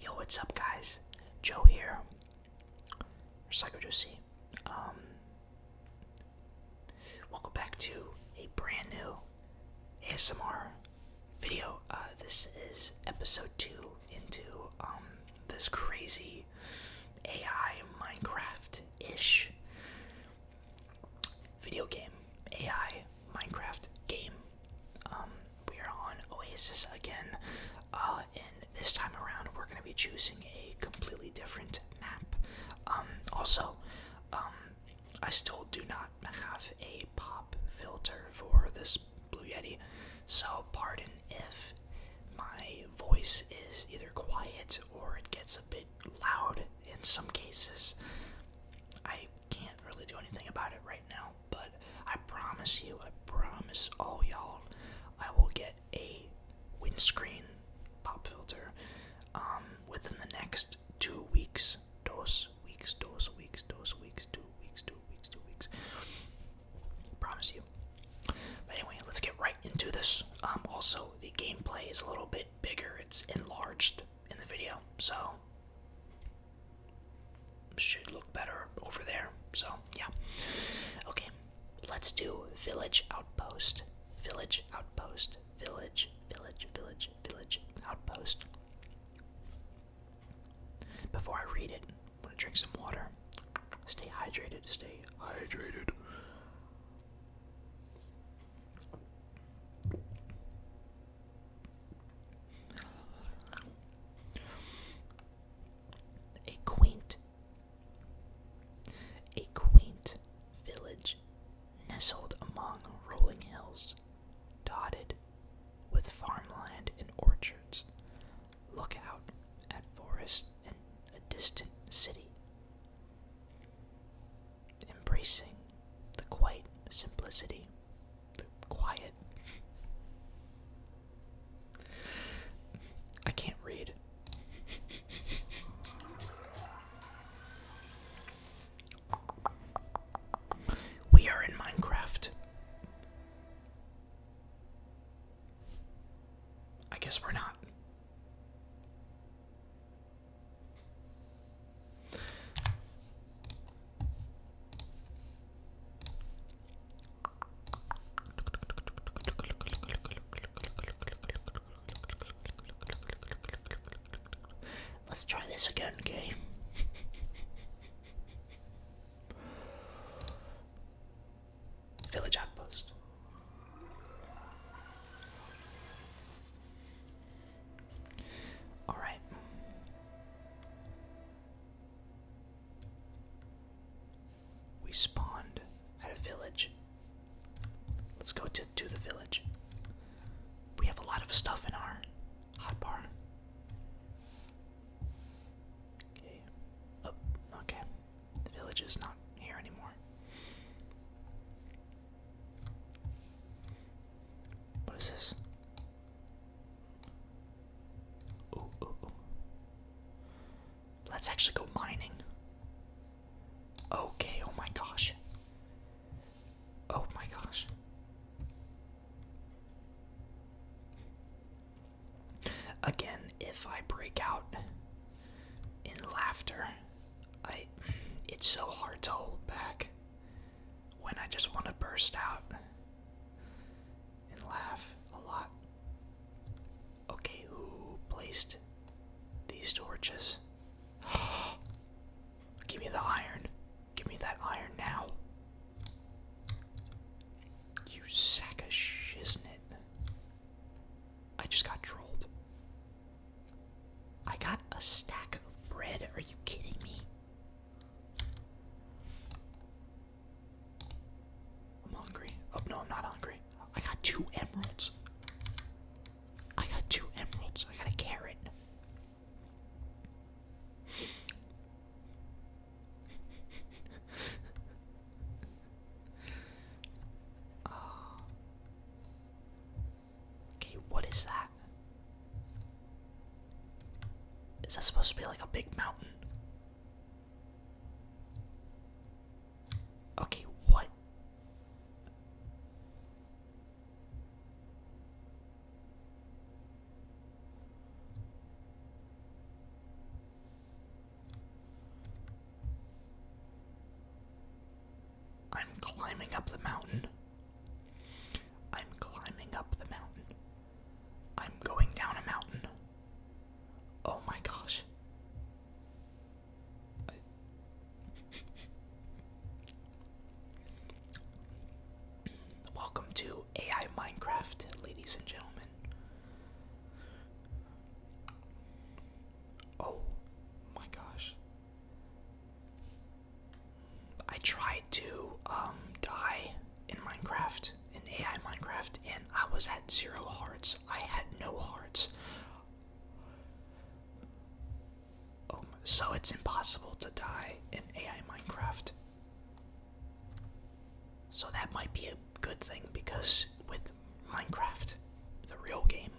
Yo, what's up, guys? Joe here, or um, welcome back to a brand new ASMR video. Uh, this is episode two into um, this crazy AI Minecraft ish video game. AI Minecraft game. Um, we are on Oasis again, uh, and this time around we're going to be choosing a completely different map. Um, also, um, I still do not have a pop filter for this Blue Yeti. So, pardon if my voice is either quiet or it gets a bit loud in some cases. I can't really do anything about it right now, but I promise you, I promise all y'all, I will get a windscreen pop filter um, within the next two weeks. Dos weeks, dos weeks, dos weeks, two weeks, two weeks, two weeks. I promise you. But anyway, let's get right into this. Um, also, the gameplay is a little bit bigger, it's enlarged in the video, so should look better over there. So, yeah. Okay, let's do Village Outpost. Village Outpost. Village, village, village, village, outpost. Before I read it, I'm to drink some water. Stay hydrated, stay hydrated. A quaint, a quaint village nestled among rolling hills, dotted with farmland and orchards, look out at forests and a distant city. Embracing the quiet simplicity, the quiet. I can't read. We are in Minecraft. I guess we're not. Let's try this again, okay? Village outpost. All right. We spawned at a village. Let's go to, to the village. We have a lot of stuff in our hotbar. Okay. Oh, okay. The village is not here anymore. What is this? Ooh, Let's actually go mining. Okay, oh my gosh. Oh my gosh. Again, if I break out in laughter, I it's so hard to hold back when I just want to burst out and laugh a lot. Okay, who placed these torches? Give me the iron. Give me that iron now. You sack of shiznit. I just got trolled. I got a stack of bread. Are you kidding me? I'm hungry. Oh, no, I'm not hungry. I got two emeralds. I got two emeralds. I got a carrot. oh. Okay, what is that? Is that supposed to be like a big mountain? Okay, what? I'm climbing up the mountain. I'm climbing up the mountain. I'm going down a mountain. Oh my gosh. Welcome to AI Minecraft, ladies and gentlemen. Oh my gosh. I tried to um, die in Minecraft, in AI Minecraft, and I was at zero hearts. I had no hearts. Um, so it's impossible to die in AI Minecraft. So that might be a good thing because with Minecraft, the real game,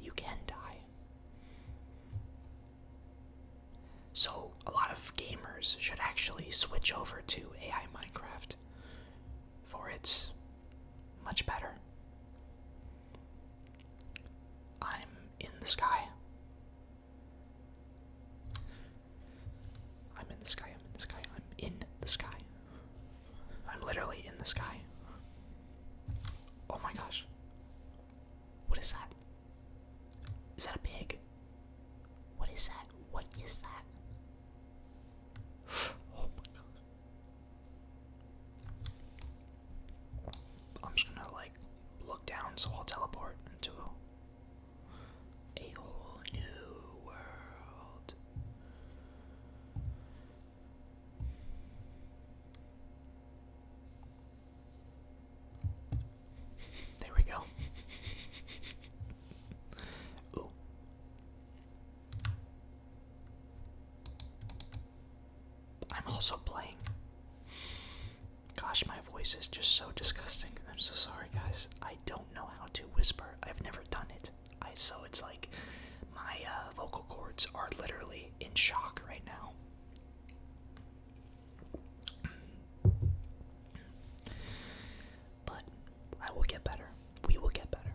you can die. So a lot of gamers should actually switch over to AI Minecraft for it's much better. I'm in the sky. I'm in the sky, I'm in the sky, I'm in the sky. I'm literally in the sky. Oh my gosh. What is that? Is that a pig? What is that? What is that? Oh my god. I'm just gonna like look down so I'll teleport into a whole new world. There we go. Ooh. I'm also playing Gosh, my voice is just so disgusting. I'm so sorry, guys. I don't know how to whisper. I've never done it. I so it's like my uh, vocal cords are literally in shock right now. But I will get better. We will get better.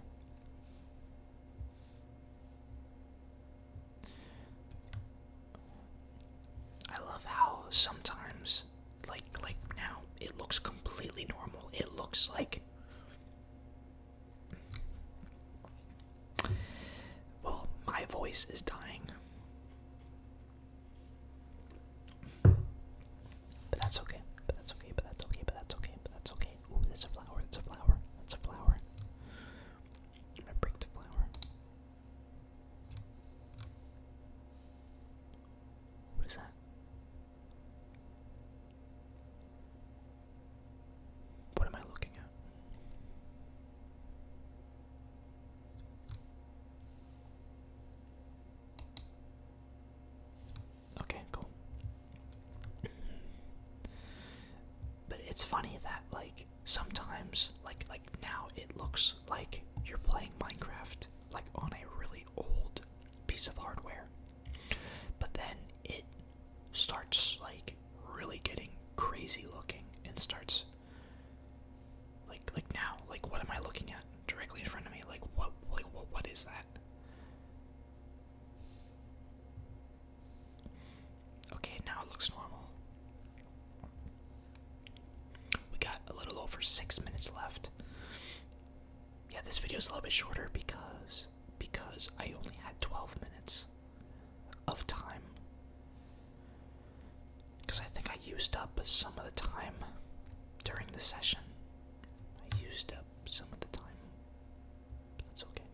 I love how sometimes like like now it looks completely normal. It looks like well, my voice is dying. But that's okay. But that's okay. But that's okay. But that's okay. But that's okay. Ooh, that's a flower. That's a flower. That's a flower. I'm gonna flower. What is that? What am I looking at? Okay, cool. but it's funny that, like, sometimes like like now it looks like you're playing Minecraft like on a really old piece of hardware. But then it starts like really getting crazy looking and starts like like now like what am I looking at directly in front of me like what like what what is that Okay, now it looks normal. We got a little over six minutes left. Yeah, this video is a little bit shorter because because I only had 12 minutes of time. Because I think I used up some of the time during the session. I used up some of the time. But that's okay.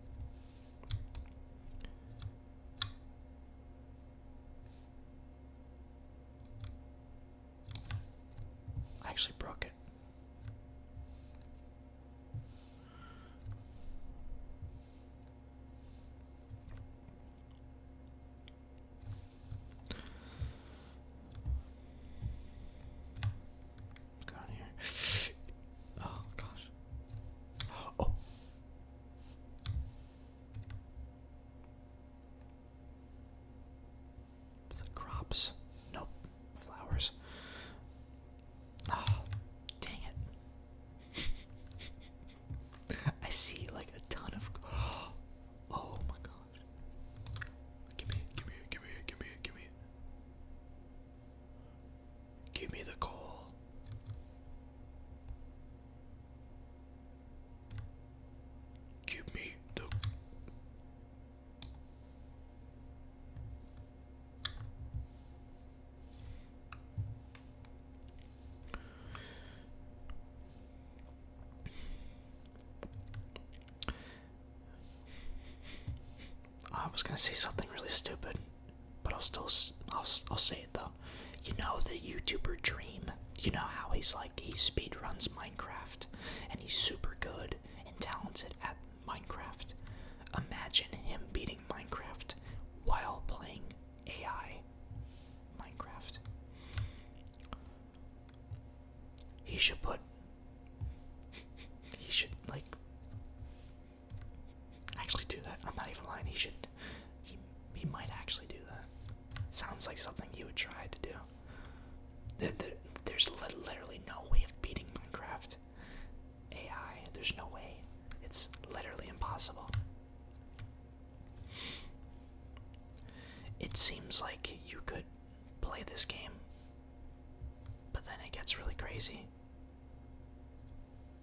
I actually broke it. Go on here. Oh gosh. Oh, is it crops? Nope. Flowers. Oh, dang it. I see like a ton of. Oh my gosh. Give me it, give me it, give me it, give me it, give me it. Give me the call. Give me the. I was gonna say something really stupid but I'll still I'll, I'll say it though. You know the YouTuber Dream. You know how he's like he speedruns Minecraft, and he's super good and talented at Minecraft. Imagine him beating Minecraft while playing AI Minecraft. He should put. He should like Actually, do that. I'm not even lying. He should. He he might actually do that. sounds like something he would try to do. there's literally no way of beating Minecraft AI. There's no way. It's literally impossible. It seems like you could play this game, but then it gets really crazy.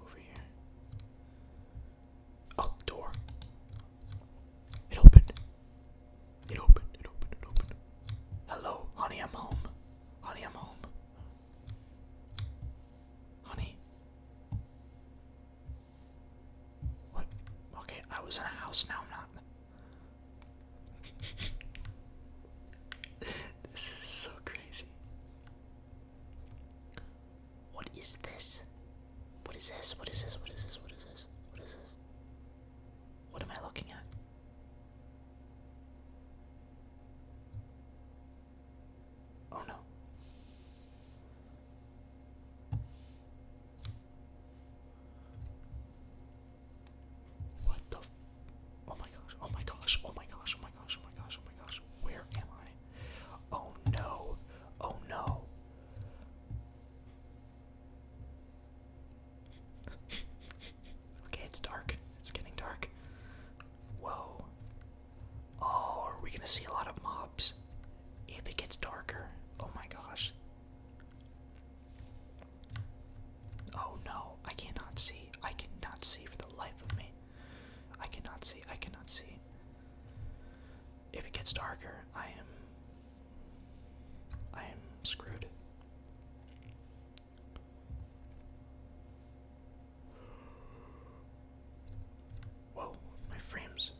Over here. Oh, door. It opened. It opened. It opened. It opened. Hello, honey, I'm home. Honey, I'm home. Honey. What? Okay, I was in a house, now I'm not. This is so crazy. What is this? What is this? What is this? What is this? What is this? What is this? What am I looking at? Oh no. What the Oh my gosh, oh my gosh, oh my gosh, oh my gosh, oh my gosh, oh my gosh. Where am I? Oh no, oh no. okay, it's dark. It's getting dark. Whoa. Oh, are we gonna see a lot of mobs? If it gets darker, oh my gosh. Oh no, I cannot see. I cannot see for the life of me. I cannot see. I cannot see. If it gets darker, I am. I am screwed. Whoa, my frames.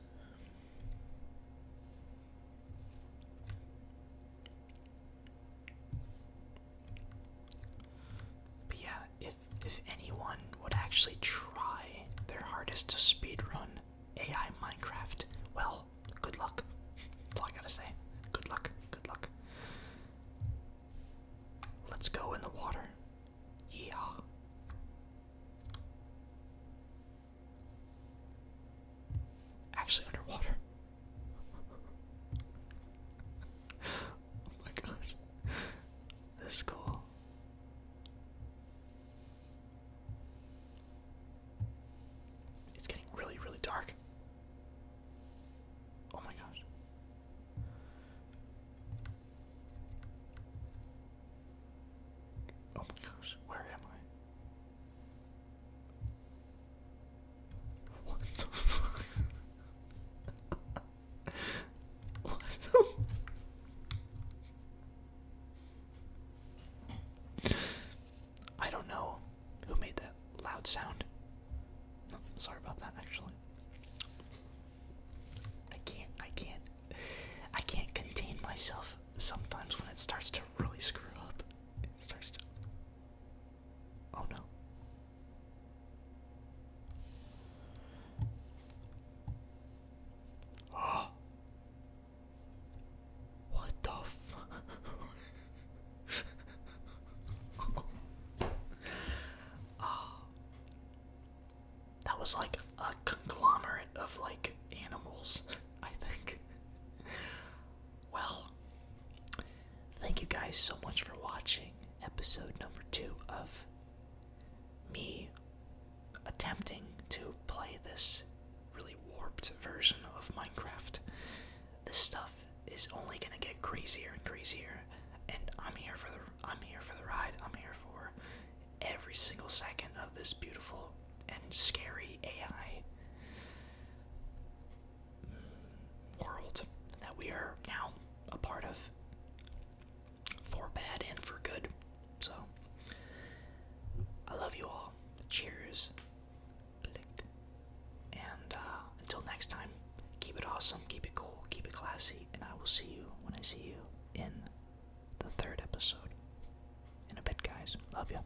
But yeah, if if anyone would actually try their hardest to speed run AI Minecraft, well, good luck. That's all I gotta say. Good luck, good luck. Let's go in the water. Yeah. Actually underwater. oh my gosh. This is cool. It's getting really, really dark. Oh my gosh. Oh my gosh, where am I? What the fuck? what the I don't know who made that loud sound. sorry about that actually. I can't I can't I can't contain myself sometimes when it starts to really screw up. It starts to Oh no. Oh. What the f oh. That was like a conglomerate of like animals, I think well, thank you guys so much for watching episode number two of me attempting to play this really warped version of Minecraft. This stuff is only gonna get crazier and crazier, and I'm here for the I'm here for the ride. I'm here for every single second of this beautiful and scary AI world that we are now a part of for bad and for good. So, I love you all. Cheers. And uh, until next time, keep it awesome, keep it cool, keep it classy, and I will see you when I see you in the third episode. In a bit, guys. Love you.